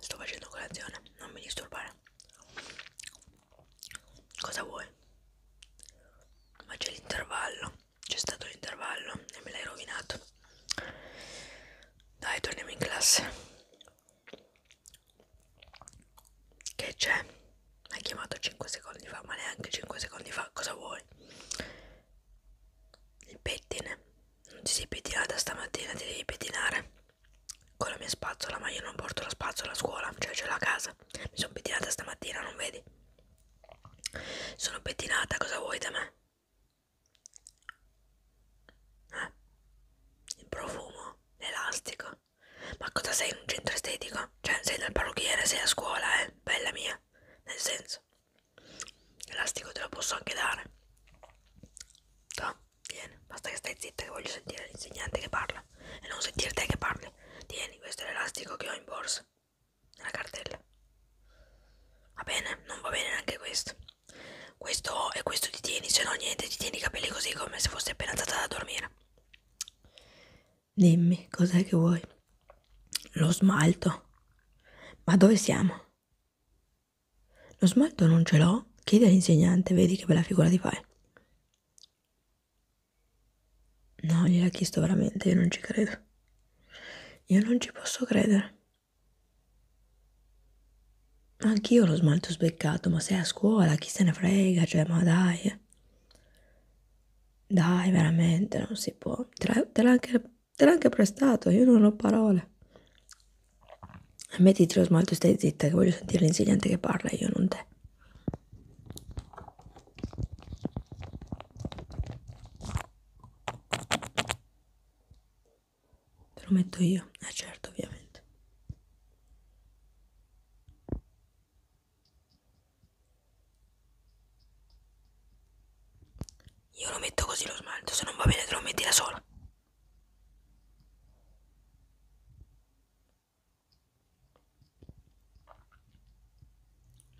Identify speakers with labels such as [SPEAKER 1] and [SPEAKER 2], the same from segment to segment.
[SPEAKER 1] Sto facendo colazione, non mi disturbare. Cosa vuoi? Ma c'è l'intervallo, c'è stato l'intervallo e me l'hai rovinato. Dai, torniamo in classe. Che c'è? Hai chiamato 5 secondi fa, ma neanche 5 secondi fa. Cosa vuoi? Il pettine. Non ti sei pettinata stamattina, ti devi pettinare. Con la mia spazzola, ma io non porto la spazzola a scuola, cioè c'è la casa. Mi sono pettinata stamattina, non vedi? Sono pettinata, cosa vuoi da me? Eh? Il profumo, l'elastico. Ma cosa sei in un centro estetico? Cioè, sei dal parrucchiere, sei a scuola, eh? Bella mia. Nel senso, l'elastico te lo posso anche dare. No, vieni, basta che stai zitta che voglio sentire l'insegnante che parla. E non sentire te che parli. Tieni, questo è l'elastico che ho in borsa. Nella cartella. Va bene, non va bene neanche questo questo e questo ti tieni, se no niente, ti tieni i capelli così come se fossi appena andata a dormire. Dimmi, cos'è che vuoi? Lo smalto. Ma dove siamo? Lo smalto non ce l'ho. Chiedi all'insegnante, vedi che bella figura ti fai. No, gliel'ha chiesto veramente, io non ci credo. Io non ci posso credere. Anch'io ho lo smalto sbeccato, ma sei a scuola, chi se ne frega, cioè, ma dai. Dai, veramente, non si può. Te l'ho anche, anche, prestato, io non ho parole. E mettiti lo smalto e stai zitta, che voglio sentire l'insegnante che parla, io non te. Te lo metto io, eh certo, ovviamente. Io lo metto così lo smalto, se non va bene te lo metti da sola.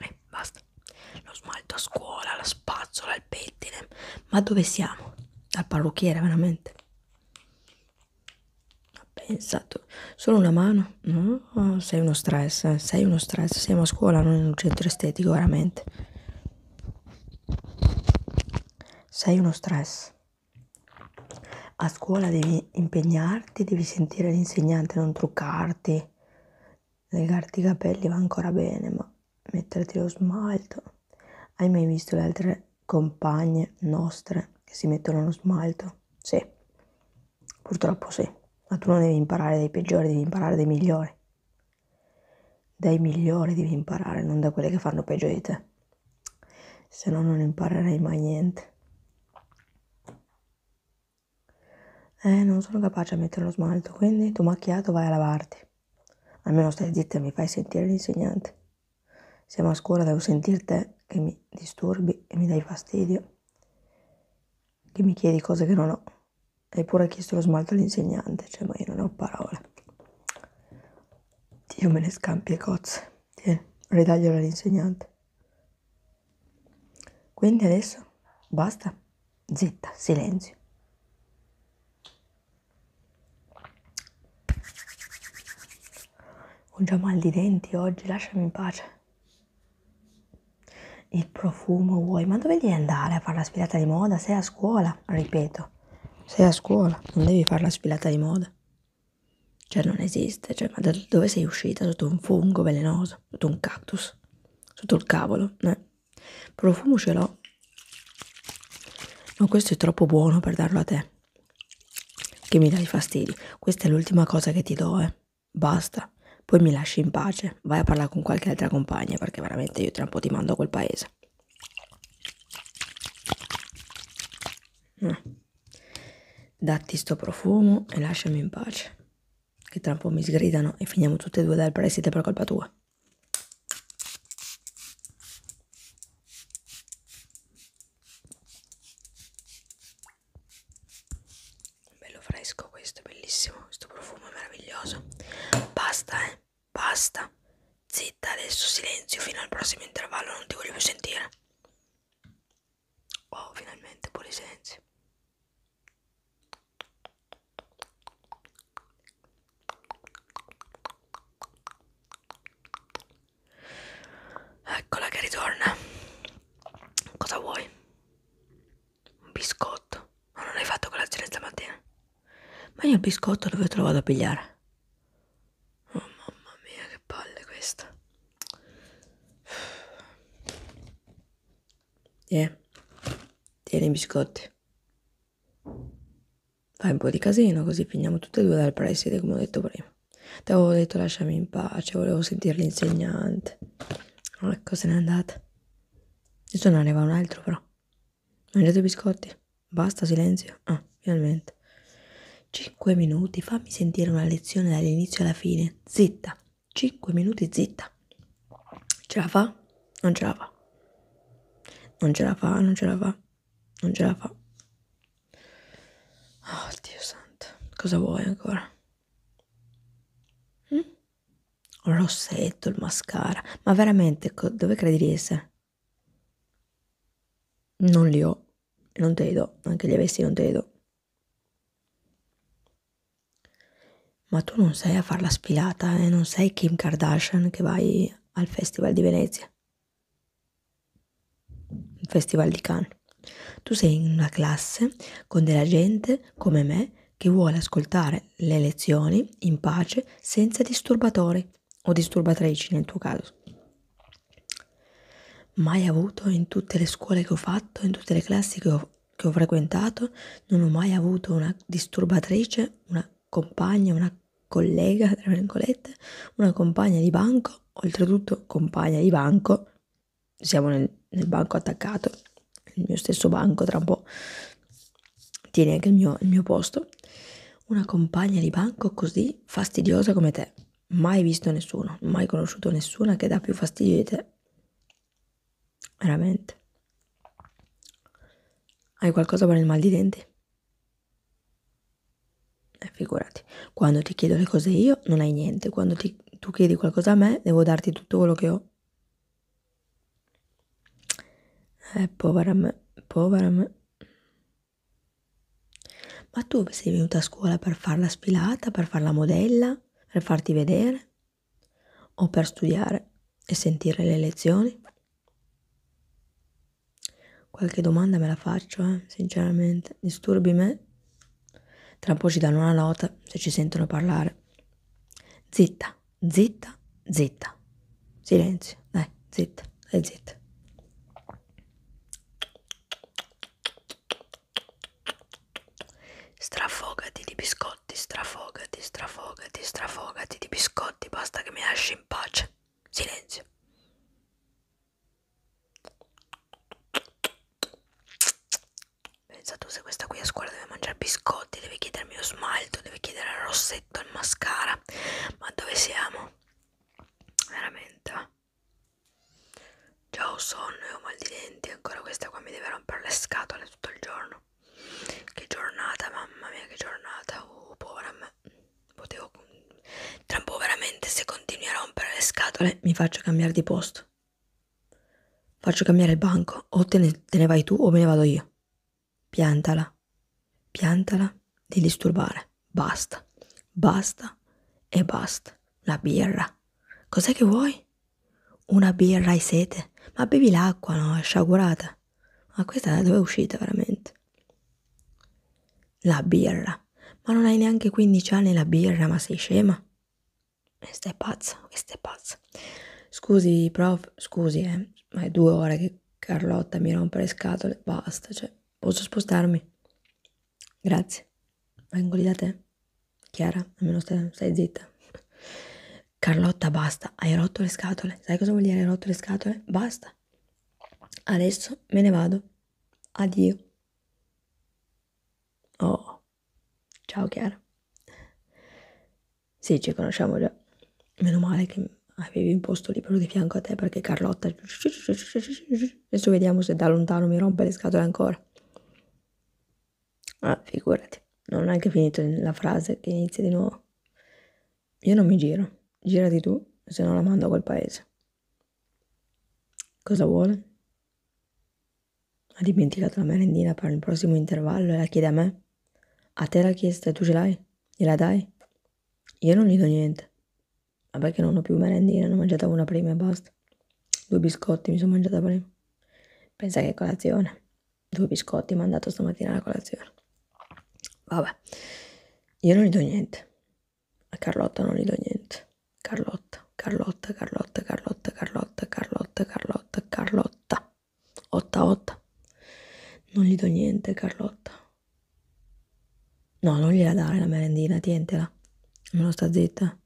[SPEAKER 1] Eh, basta. Lo smalto a scuola, la spazzola, il pettine. Ma dove siamo? Al parrucchiere, veramente. Ha pensato. Solo una mano? No, sei uno stress, eh? sei uno stress. Siamo a scuola, non in un centro estetico, veramente. Sei uno stress. A scuola devi impegnarti, devi sentire l'insegnante, non truccarti. Legarti i capelli va ancora bene, ma metterti lo smalto. Hai mai visto le altre compagne nostre che si mettono lo smalto? Sì, purtroppo sì, ma tu non devi imparare dai peggiori, devi imparare dai migliori. Dai migliori devi imparare, non da quelle che fanno peggio di te. Se no non imparerai mai niente. Eh, non sono capace a mettere lo smalto, quindi tu macchiato vai a lavarti. Almeno stai zitta e mi fai sentire l'insegnante. Siamo a scuola, devo sentir te che mi disturbi e mi dai fastidio, che mi chiedi cose che non ho. Hai pure chiesto lo smalto all'insegnante, cioè ma io non ho parole. Dio me ne scampi e cozze. Tieni, ridaglielo all'insegnante. Quindi adesso basta. Zitta, silenzio. Ho già mal di denti oggi, lasciami in pace. Il profumo vuoi? Ma dove devi andare a fare la sfilata di moda? Sei a scuola, ripeto. Sei a scuola, non devi fare la sfilata di moda. Cioè non esiste, cioè ma da dove sei uscita? Sotto un fungo velenoso, sotto un cactus, sotto il cavolo, eh? Profumo ce l'ho. No, questo è troppo buono per darlo a te. Che mi dai fastidi. Questa è l'ultima cosa che ti do, eh. Basta. Poi mi lasci in pace. Vai a parlare con qualche altra compagna perché veramente io tra un po' ti mando a quel paese. No. Ah. Datti sto profumo e lasciami in pace. Che tra un po' mi sgridano e finiamo tutte e due dal preside per colpa tua bello fresco questo, bellissimo, questo profumo è meraviglioso. Basta, eh, basta. Zitta, adesso silenzio, fino al prossimo intervallo non ti voglio più sentire. Oh, finalmente pure silenzio. Eccola che ritorna. Cosa vuoi? Un biscotto. Ma non hai fatto colazione stamattina? Ma io il biscotto dove te lo vado a pigliare? Oh mamma mia, che palle questa. Eh, tieni i biscotti. Fai un po' di casino così finiamo tutte e due dal preside, come ho detto prima. Ti avevo detto lasciami in pace, volevo sentire l'insegnante. Oh, ecco, se n'è andata. Adesso ne arriva un altro, però. Mangiate i biscotti. Basta, silenzio. Ah, finalmente. Cinque minuti, fammi sentire una lezione dall'inizio alla fine. Zitta. Cinque minuti, zitta. Ce la fa? non ce la fa. Non ce la fa, non ce la fa, non ce la fa. Oh Dio santo, cosa vuoi ancora? Hm? Il rossetto, il mascara, ma veramente co- dove credi di essere? Non li ho, non te li do, anche gli avessi non te li do. Ma tu non sei a far la spilata e eh? non sei Kim Kardashian che vai al Festival di Venezia, il Festival di Cannes. Tu sei in una classe con della gente come me che vuole ascoltare le lezioni in pace senza disturbatori o disturbatrici nel tuo caso. Mai avuto in tutte le scuole che ho fatto, in tutte le classi che ho, che ho frequentato, non ho mai avuto una disturbatrice, una compagna, una collega, tra virgolette, una compagna di banco, oltretutto compagna di banco, siamo nel, nel banco attaccato, il mio stesso banco tra un po' tiene anche il mio, il mio posto, una compagna di banco così fastidiosa come te, mai visto nessuno, mai conosciuto nessuna che dà più fastidio di te, veramente. Hai qualcosa per il mal di denti? E eh, figurati, quando ti chiedo le cose io non hai niente, quando ti, tu chiedi qualcosa a me devo darti tutto quello che ho. Eh, povera me, povera me. Ma tu sei venuta a scuola per far la sfilata, per far la modella, per farti vedere o per studiare? e sentire le lezioni? Qualche domanda me la faccio, eh, sinceramente. Disturbi me? Tra un po' ci danno una nota se ci sentono parlare. Zitta, zitta, zitta. Silenzio, dai, zitta, dai, zitta. Strafogati di biscotti, strafogati, strafogati, strafogati di biscotti, basta che mi lasci in pace. Silenzio. Pensa tu se questa qui a scuola deve mangiare biscotti, deve chiedermi lo smalto, deve chiedere il rossetto, il mascara. Ma dove siamo? Veramente. Già ho sonno e ho mal di denti, ancora questa qua mi deve rompere le scatole tutto il giorno. Che giornata, mamma mia, che giornata. Oh, povera me. Potevo. Tra un po' veramente, se continui a rompere le scatole, mi faccio cambiare di posto. Faccio cambiare il banco. O te ne, te ne vai tu o me ne vado io. Piantala. Piantala di disturbare. Basta. Basta e basta. La birra. Cos'è che vuoi? Una birra hai sete? Ma bevi l'acqua, no? È sciagurata. Ma questa da dove è uscita veramente? La birra. Ma non hai neanche 15 anni la birra, ma sei scema? Questa è pazza, questa è pazza. Scusi, prof, scusi, eh, ma è due ore che Carlotta mi rompe le scatole, basta, cioè, posso spostarmi? Grazie. Vengo lì da te. Chiara, almeno stai, stai zitta. Carlotta, basta, hai rotto le scatole. Cioè, sai cosa vuol dire rotto le scatole? Basta. Adesso me ne vado. Addio. Oh. Ciao Chiara. Sì, ci conosciamo già. Meno male che avevi un posto libero di fianco a te perché Carlotta... Adesso vediamo se da lontano mi rompe le scatole ancora. Ah, figurati. Non ho neanche finito la frase che inizia di nuovo. Io non mi giro, girati tu, se no la mando a quel paese. Cosa vuole? Ha dimenticato la merendina per il prossimo intervallo e la chiede a me? A te l'ha chiesta e tu ce l'hai? Gliela dai? Io non gli do niente. Vabbè che non ho più merendina, ne ho mangiata una prima e basta. Due biscotti mi sono mangiata prima. Pensa che colazione due biscotti mandato stamattina alla colazione. Vabbè, io non gli do niente. A Carlotta non gli do niente. Carlotta, Carlotta, Carlotta, Carlotta, Carlotta, Carlotta, Carlotta, Carlotta. Otta, otta. Non gli do niente, Carlotta. No, non gliela dare la merendina, tientela. Non sta zitta.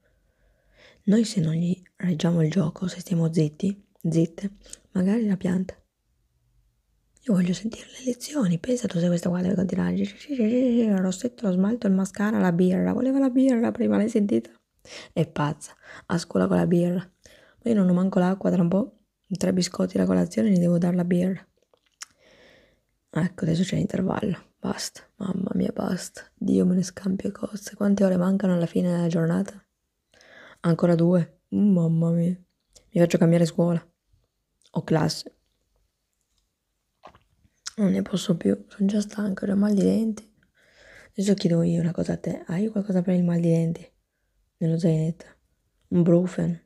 [SPEAKER 1] Noi se non gli reggiamo il gioco, se stiamo zitti, zitte, magari la pianta. Io voglio sentire le lezioni, pensa tu se questa qua deve continuare. Il rossetto, lo smalto, il mascara, la birra. Voleva la birra prima, l'hai sentita? È pazza, a scuola con la birra. Ma io non ho manco l'acqua, tra un po' tre biscotti la colazione gli devo dare la birra. Ecco, adesso c'è l'intervallo. Basta, mamma mia, basta. Dio me ne scampia cose. Quante ore mancano alla fine della giornata? Ancora due? Mamma mia. Mi faccio cambiare scuola. O classe. Non ne posso più, sono già stanco, ho mal di denti. Adesso chiedo io una cosa a te. Hai qualcosa per il mal di denti? Nello zainetto. Un brufen?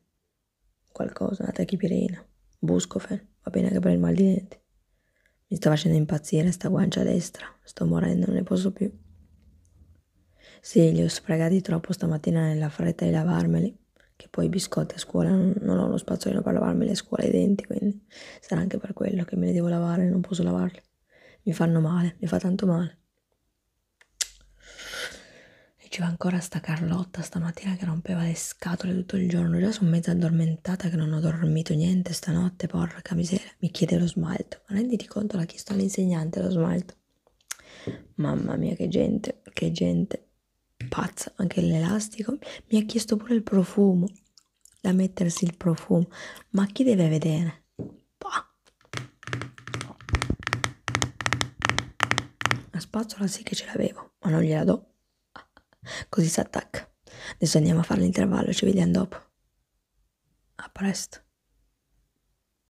[SPEAKER 1] Qualcosa, una tachipirina. Buscofen? Va bene anche per il mal di denti. Mi sta facendo impazzire sta guancia destra. Sto morendo, non ne posso più. Sì, li ho sprecati troppo stamattina nella fretta di lavarmeli, che poi i biscotti a scuola non ho lo spazzolino per lavarmeli a scuola i denti, quindi sarà anche per quello che me li devo lavare, non posso lavarli. Mi fanno male, mi fa tanto male. E ci va ancora sta Carlotta stamattina che rompeva le scatole tutto il giorno. Già sono mezza addormentata che non ho dormito niente stanotte, porca miseria. Mi chiede lo smalto. Ma renditi conto, l'ha chiesto all'insegnante lo smalto. Mamma mia, che gente, che gente pazza. Anche l'elastico. Mi ha chiesto pure il profumo, da mettersi il profumo. Ma chi deve vedere? Bah. La spazzola sì che ce l'avevo, ma non gliela do. Così si attacca. Adesso andiamo a fare l'intervallo, ci vediamo dopo. A presto.